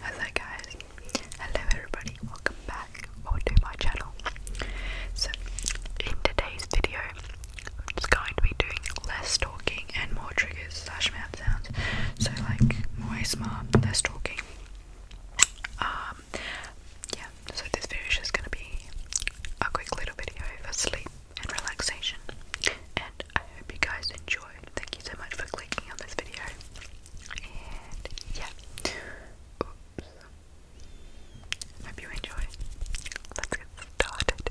Hello guys, hello everybody, welcome back to my channel. So in today's video I'm just going to be doing less talking and more triggers slash mouth sounds. So like more smart, less talking. Um yeah, so this video is just going to be a quick little video for sleep and relaxation. And I hope you guys enjoy. Thank you so much for clicking on this video. And yeah. Hope you enjoy. Let's get started.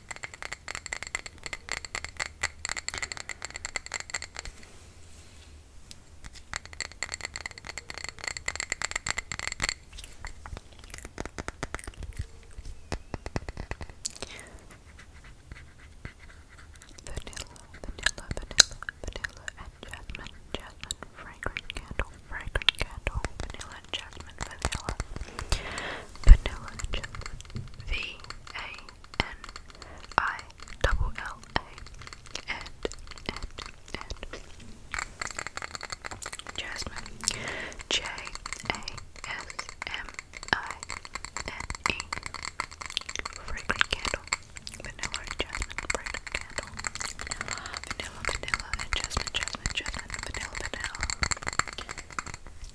Vanilla, vanilla, vanilla, vanilla and jasmine, jasmine, fragrant candle, fragrant candle, vanilla jasmine, vanilla, vanilla jasmine, V A N-I-double-L-A. And, and, and. Jasmine. J-A-S-M-I-N-E. Fragrant candle. Vanilla and jasmine. Fragrant candle. Vanilla, vanilla, and jasmine, jasmine, jasmine. Vanilla, vanilla.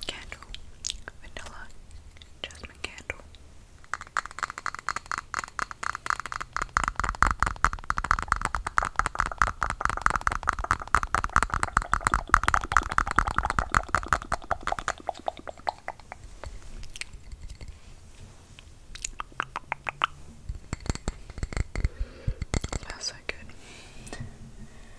Candle vanilla jasmine candle. Smells so good.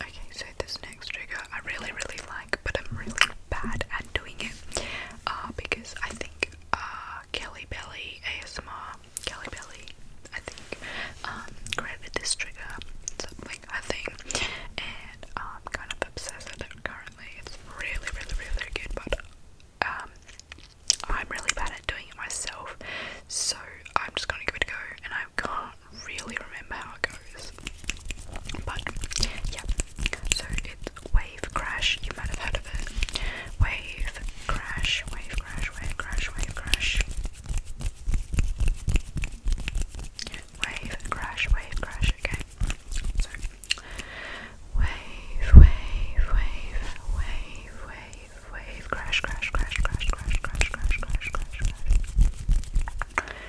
Okay, so there's no next trigger I really really like but I'm really bad at doing it uh, because I think uh, Kelly Belly ASMR Kelly Belly I think um, created this trigger something I think and I'm kind of obsessed with it currently it's really really really good but um, I'm really bad at doing it myself so I'm just gonna give it a go and I can't really remember how it goes but yeah, so it's Wave Crash, you might have heard of it. Wave Crash, Wave Crash, Wave Crash, Wave Crash. Wave Crash, Wave Crash, okay. So wave, wave, wave, wave, wave, wave, crash, crash, crash, crash, crash, crash, crash, crash, crash.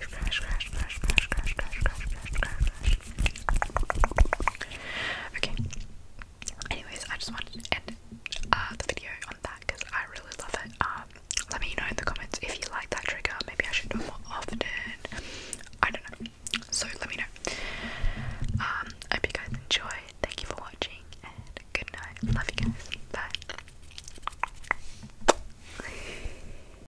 crash, crash, crash, crash, crash, crash, crash, crash, crash, crash. Okay. Anyways, I just wanted to end uh, the video on that because I really love it. Um, let me know in the comments if you like that trigger. Maybe I should do it more often. I don't know. So let me know. Um, I hope you guys enjoy. Thank you for watching and good night. Love you guys. Bye.